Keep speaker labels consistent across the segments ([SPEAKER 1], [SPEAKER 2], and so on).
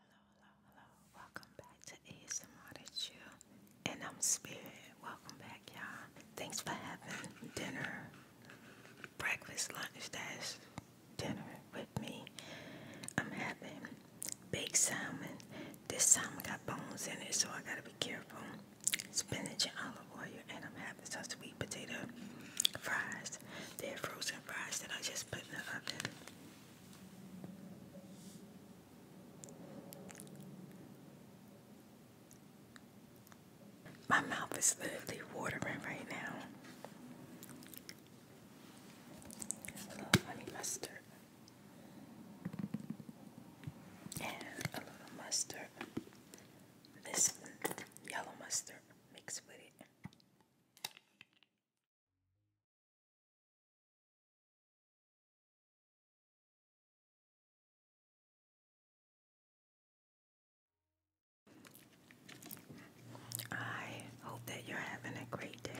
[SPEAKER 1] Hello, hello, hello. Welcome back to ASMR Chill. And I'm Spirit. Welcome back, y'all. Thanks for having dinner, breakfast, lunch, dash, dinner with me. I'm having baked salmon. This salmon got bones in it, so I gotta be careful. Spinach and olive oil, and I'm having some sweet potato fries. They're frozen fries that I just put in the oven. My mouth is literally watering right now. A little honey mustard. And a little mustard. This yellow mustard mixed with it. I hope that you're having a great day.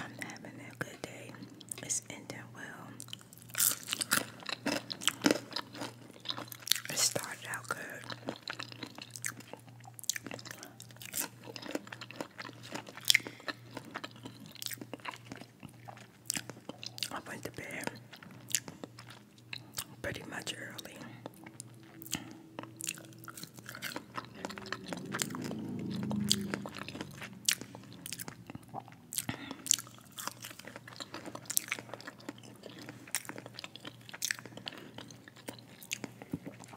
[SPEAKER 1] I'm having a good day. It's ending well. It started out good. I went to bed pretty much early.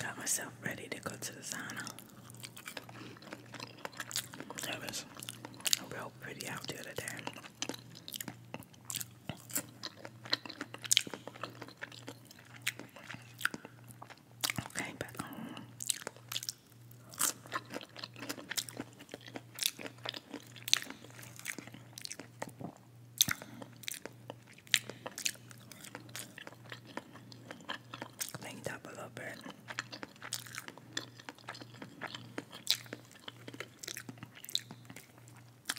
[SPEAKER 1] Got myself ready to go to the sauna. It was real pretty out the other day. Came Clean up a little bit.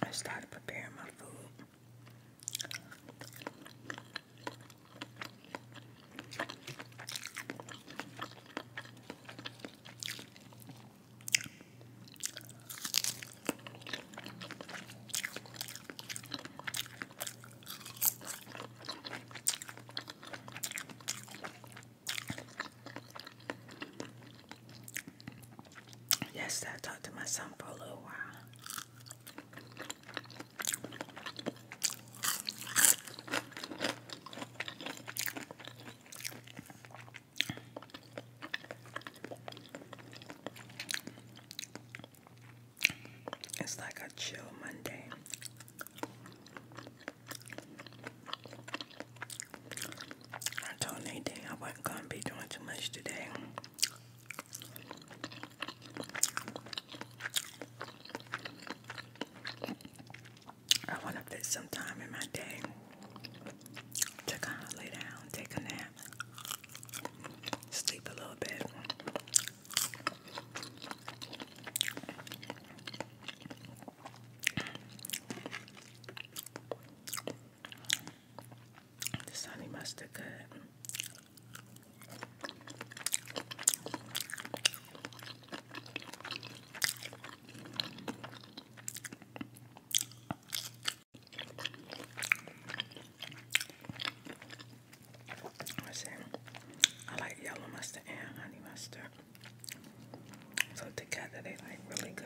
[SPEAKER 1] I started preparing my food. Yes, I talked to my son for a little while. It's like a chill Monday. I told Nadine I wasn't gonna be doing too much today. I want to fit some time in my day to kind of lay down, take a nap, sleep a little bit. This honey mustard good. I like yellow mustard and honey mustard. So together they like really good.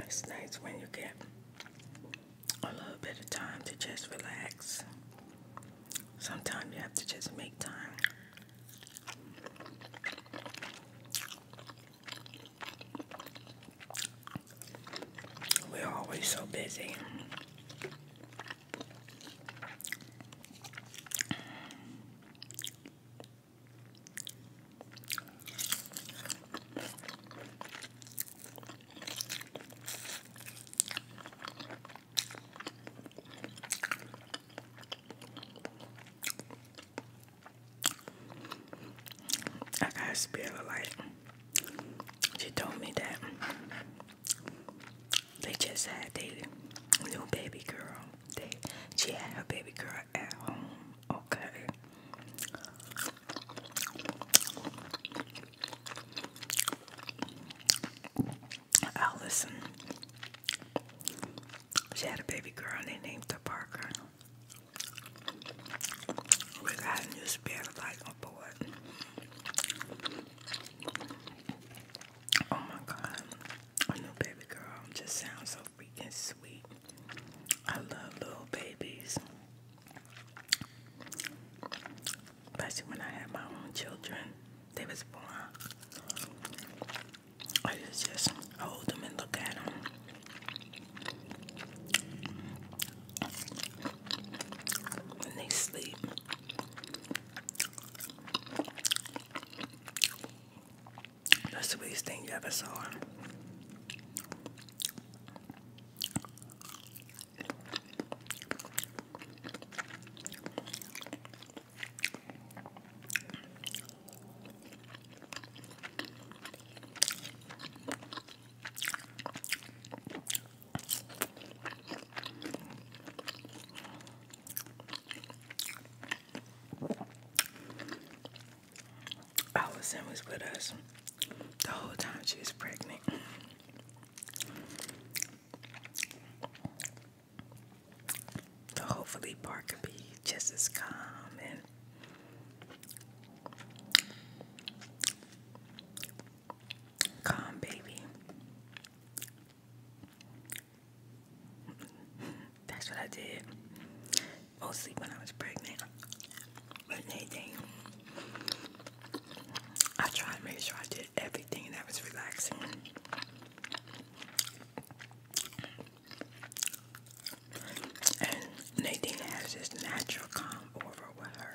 [SPEAKER 1] It's nice when you get a little bit of time to just relax. Sometimes you have to just make time. We're always so busy. I got a spirit of light. She told me that they just had their new baby girl. They she had a baby girl okay? Allison. She had a baby girl they named her Parker. We got a new spirit light on Oh my god. I know baby girl just sounds so freaking sweet. I love little babies. Especially when I had my own children. They was born. I just, just hold them and look at them. When they sleep the sweetest thing you ever saw. Alison was with us the whole time she was pregnant. So hopefully Park could be just as calm and calm baby. That's what I did. Mostly when I was pregnant. But anything, I tried to make sure I did everything that was relaxing. And Nadine has this natural calm over with her.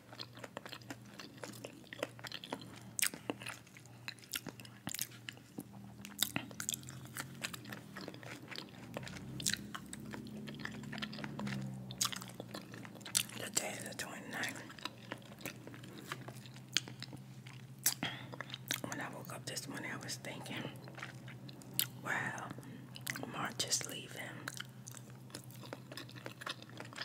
[SPEAKER 1] The day of the 29th. When I woke up this morning, I was thinking, wow, March is leaving.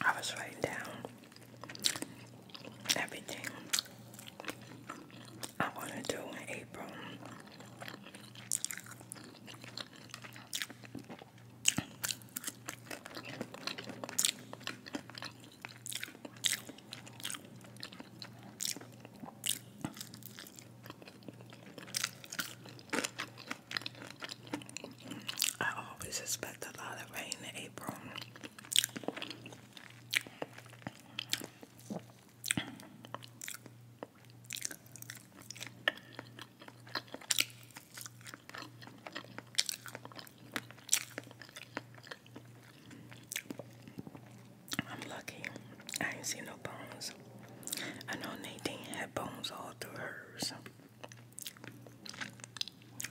[SPEAKER 1] I was writing down everything I want to do in April. I always expect a lot of rain in April. I'm lucky. I ain't seen no bones. I know Nadine had bones all through hers.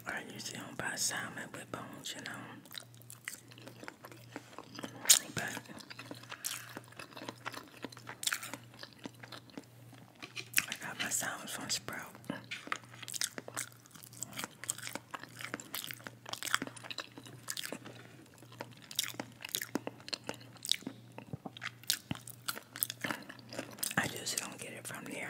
[SPEAKER 1] I usually don't buy salmon with bones, you know. But I got my sounds from Sprout. I just don't get it from there.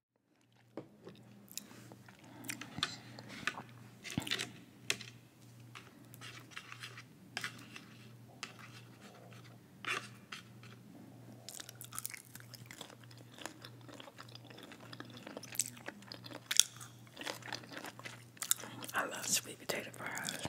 [SPEAKER 1] I love sweet potato fries.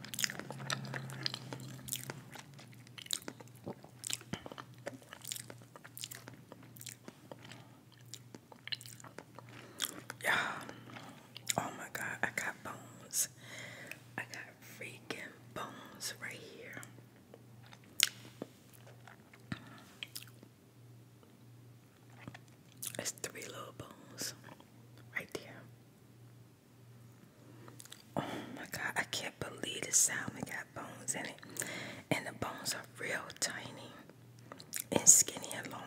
[SPEAKER 1] Yeah. Oh my God, I got bones. I got freaking bones right here. It's three little bones right there. Oh my god, I can't believe the salmon got bones in it. And the bones are real tiny and skinny and long.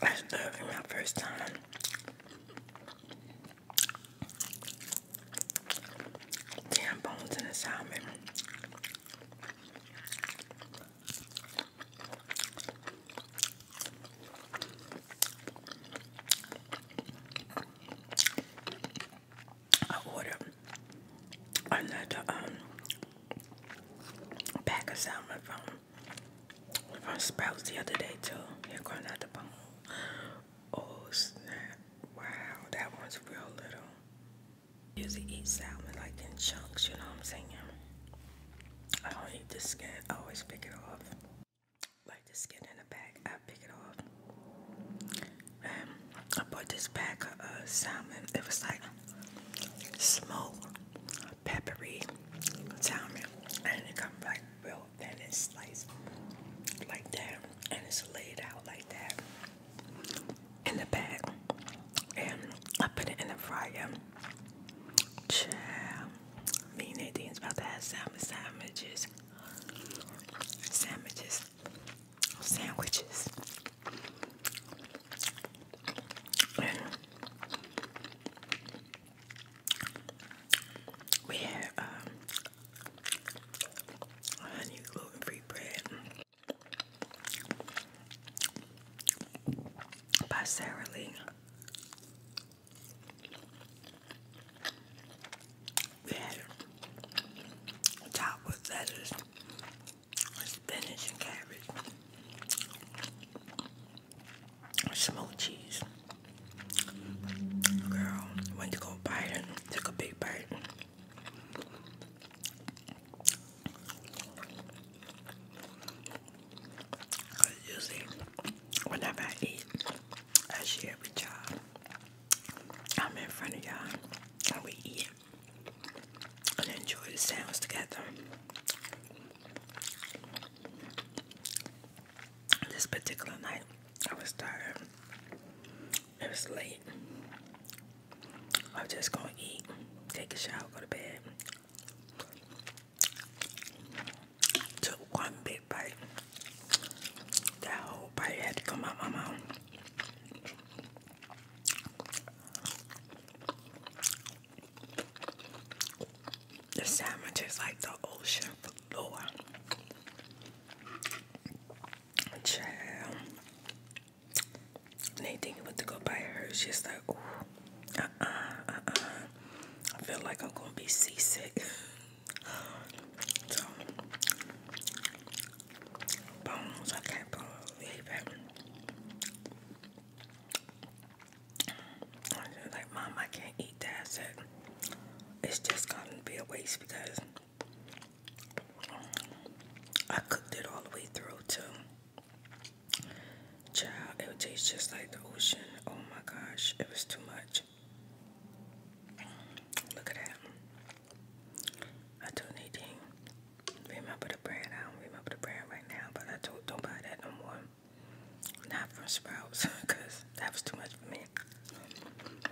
[SPEAKER 1] That's literally my first time. Damn bones in the salmon. I ordered another um pack of salmon from from Sprouts the other day too. Here going out bone. Oh snap! Wow, that one's real little usually eat salmon like in chunks, you know what I'm saying? I don't eat the skin, I always pick it off. Like the skin in the back, I pick it off. Um, I bought this pack of uh, salmon. It was like smoked, peppery salmon. And it comes like real thin and sliced like that. And it's laid out like that in the bag and I put it in the fryer. Child, me and Nadine's about to have salmon sandwiches. Sandwiches. Sandwiches. we had um, honey gluten free bread by Sarah Lee. top with lettuce, spinach and cabbage, smoked cheese. Girl, went to go bite and took a big bite. Usually, whenever I eat, I share with y'all. I'm in front of y'all, and we eat and enjoy the sounds together. This particular night, I was tired. It was late. I'm just gonna eat, take a shower, go to bed. Took one big bite. That whole bite had to come out my mouth. The sandwich is like the ocean floor. Child. Nadine went to go buy hers. She's like, ooh, uh-uh, uh-uh. I feel like I'm gonna be seasick. bones, I can't believe it. like, Mom, I can't eat that. said, it's just gonna be a waste because I cooked it all the way through too. Child, it would taste just like the ocean. Oh my gosh, it was too much. Look at that. I told Nadine, remember the brand? I don't remember the brand right now, but I told don't buy that no more. Not from Sprouts, because that was too much for me.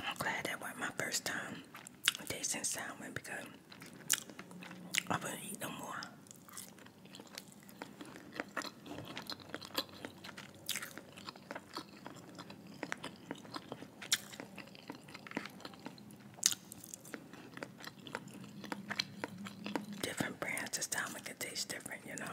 [SPEAKER 1] I'm glad that wasn't my first time tasting salmon because I wouldn't eat no more. Different brands of salmon can taste different, you know.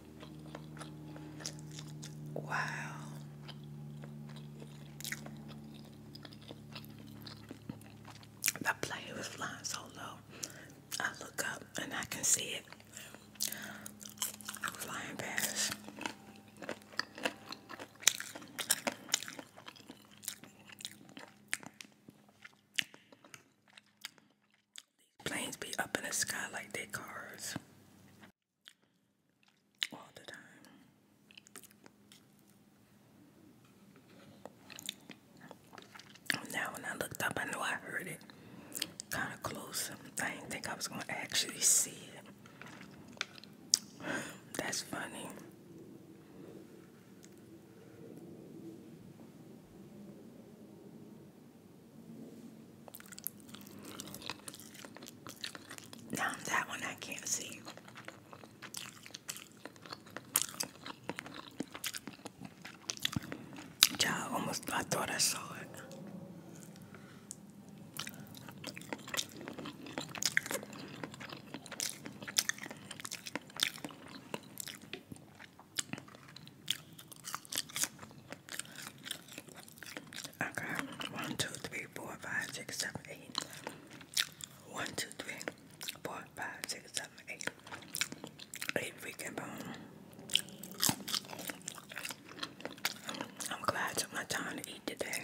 [SPEAKER 1] Wow. The plane was flying so low. I look up and I can see it flying past planes be up in the sky like they cars all the time. Now when I looked up, I knew I heard it kind of close. I didn't think I was going to actually see it. That's funny. Now that one I can't see. Child, almost I thought I saw it. I got one, two, three, four, five, six, seven, eight. One, two, three, four, five, six, seven, eight. Eight freaking bone. I'm glad I took my time to eat today.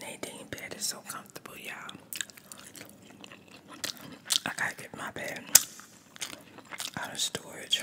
[SPEAKER 1] Nadine bed is so comfortable, y'all. I gotta get my bed out of storage.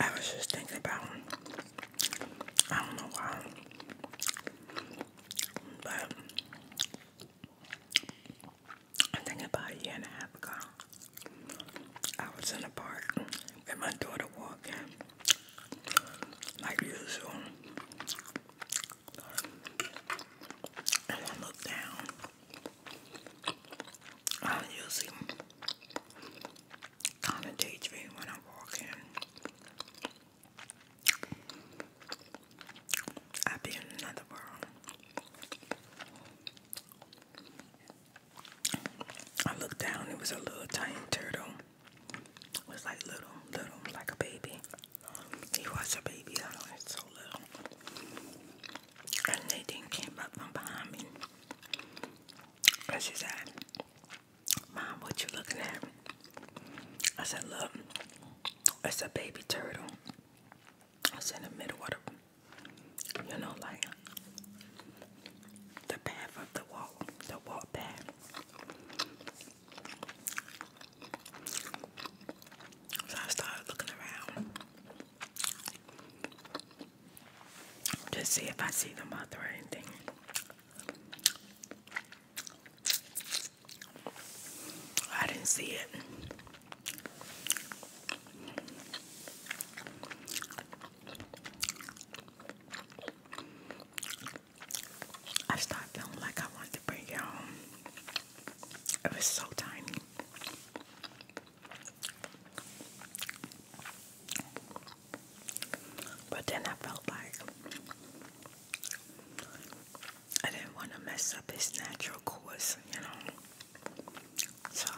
[SPEAKER 1] I was just thinking about, I don't know why, but I think about a year and a half ago, I was in a park and my daughter walked like usual, and I looked down. I usually kind of daydream when I am walking. I be in another world. I looked down, it was a little tiny turtle. It was like little, little, like a baby. He was a baby, I so little. And they didn't come up from behind me. And she said, Mom, what you looking at? I said, Look, it's a baby turtle. It's in the middle of the, you know, like the path of the walk, the walk path. So I started looking around. Just see if I see the moth or anything. I didn't see it. I started feeling like I wanted to bring it home. It was so tiny. But then I felt like I didn't want to mess up his natural course, you know. So,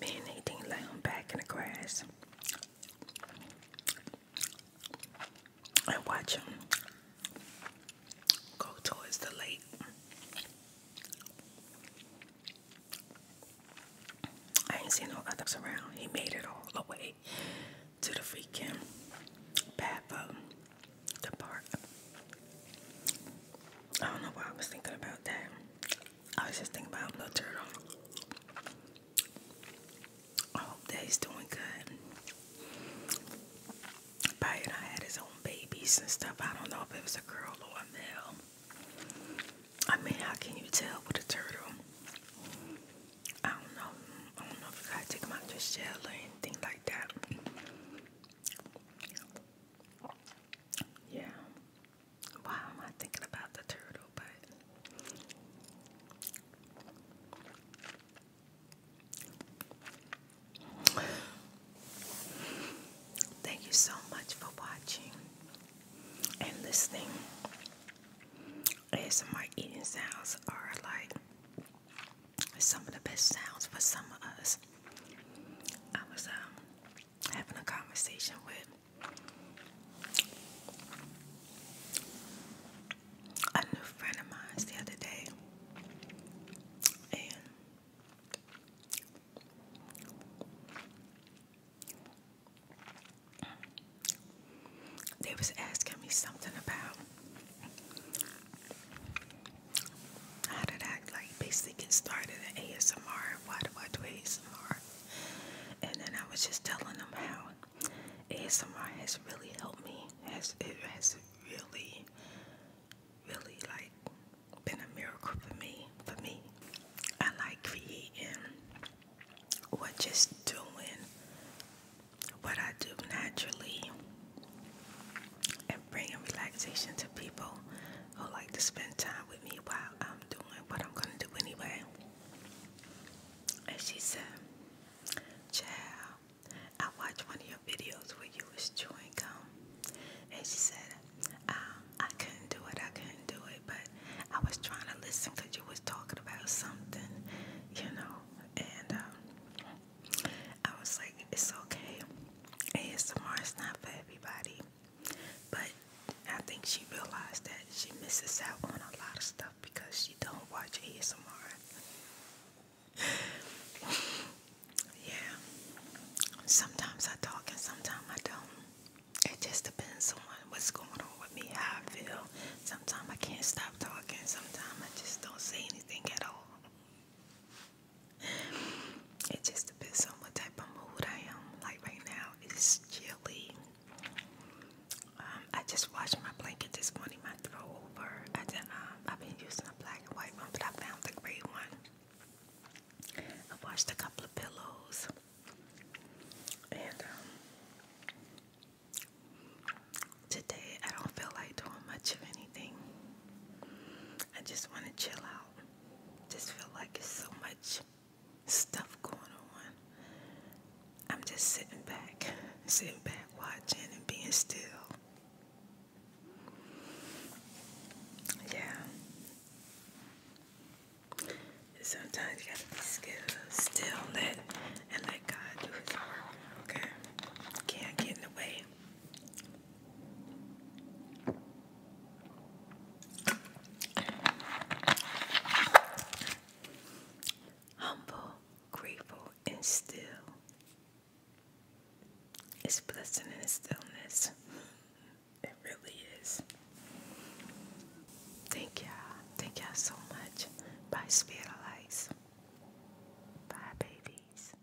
[SPEAKER 1] me and Nadine lay on back in the grass and watch him go towards the lake. I ain't seen no others around. He made it all the way to the freaking path of the park. I don't know why I was thinking about that. I was just thinking about the Turtle. I hope that he's doing good. Pyatt had his own babies and stuff. I don't know if it was a girl or a male. I mean, how can you tell with a turtle? I don't know. I don't know if you gotta take them out of the shell or anything like that. Yeah. Why am I thinking about the turtle? But Thank you so much for watching and listening. my eating sounds are like some of the best sounds for some of us. I was um, having a conversation with a new friend of mine the other day, and they was asking me something about how did I like basically get started in ASMR why do I do ASMR? And then I was just telling them how ASMR has really helped me. Has it has really really like been a miracle for me. For me, I like creating or just doing what I do naturally and bringing relaxation to people who like to spend time with me while I'm doing what I'm gonna do anyway. And she said, Child, I watched one of your videos where you was chewing gum, and she said, um, I couldn't do it, I couldn't do it, but I was trying to listen because you was talking about something, you know, and um, I was like, it's okay, ASMR is not for everybody, but I think she realized that she misses out on a lot of stuff because she don't watch ASMR. yeah. Sometimes I talk and sometimes I don't. It just depends on what's going on with me, how I feel. Sometimes I can't stop talking. Sometimes I just don't say anything at all. It just depends on what type of mood I am. Like right now, it's chilly. Um, I just washed my blanket this morning. I throw over. I have um, been using a black and white one, but I found the gray one. i washed a couple of pillows, and um, today I don't feel like doing much of anything. I just want to chill out. Just feel like it's so much stuff going on. I'm just sitting back, sitting back, watching and being still. Yeah. Sometimes you gotta be skilled, still and let God do His work. Okay, can't get in the way. Humble, grateful, and still it's blessing in its stillness. It really is. Thank you Thank you so much. Bye, Spirit Bye, babies.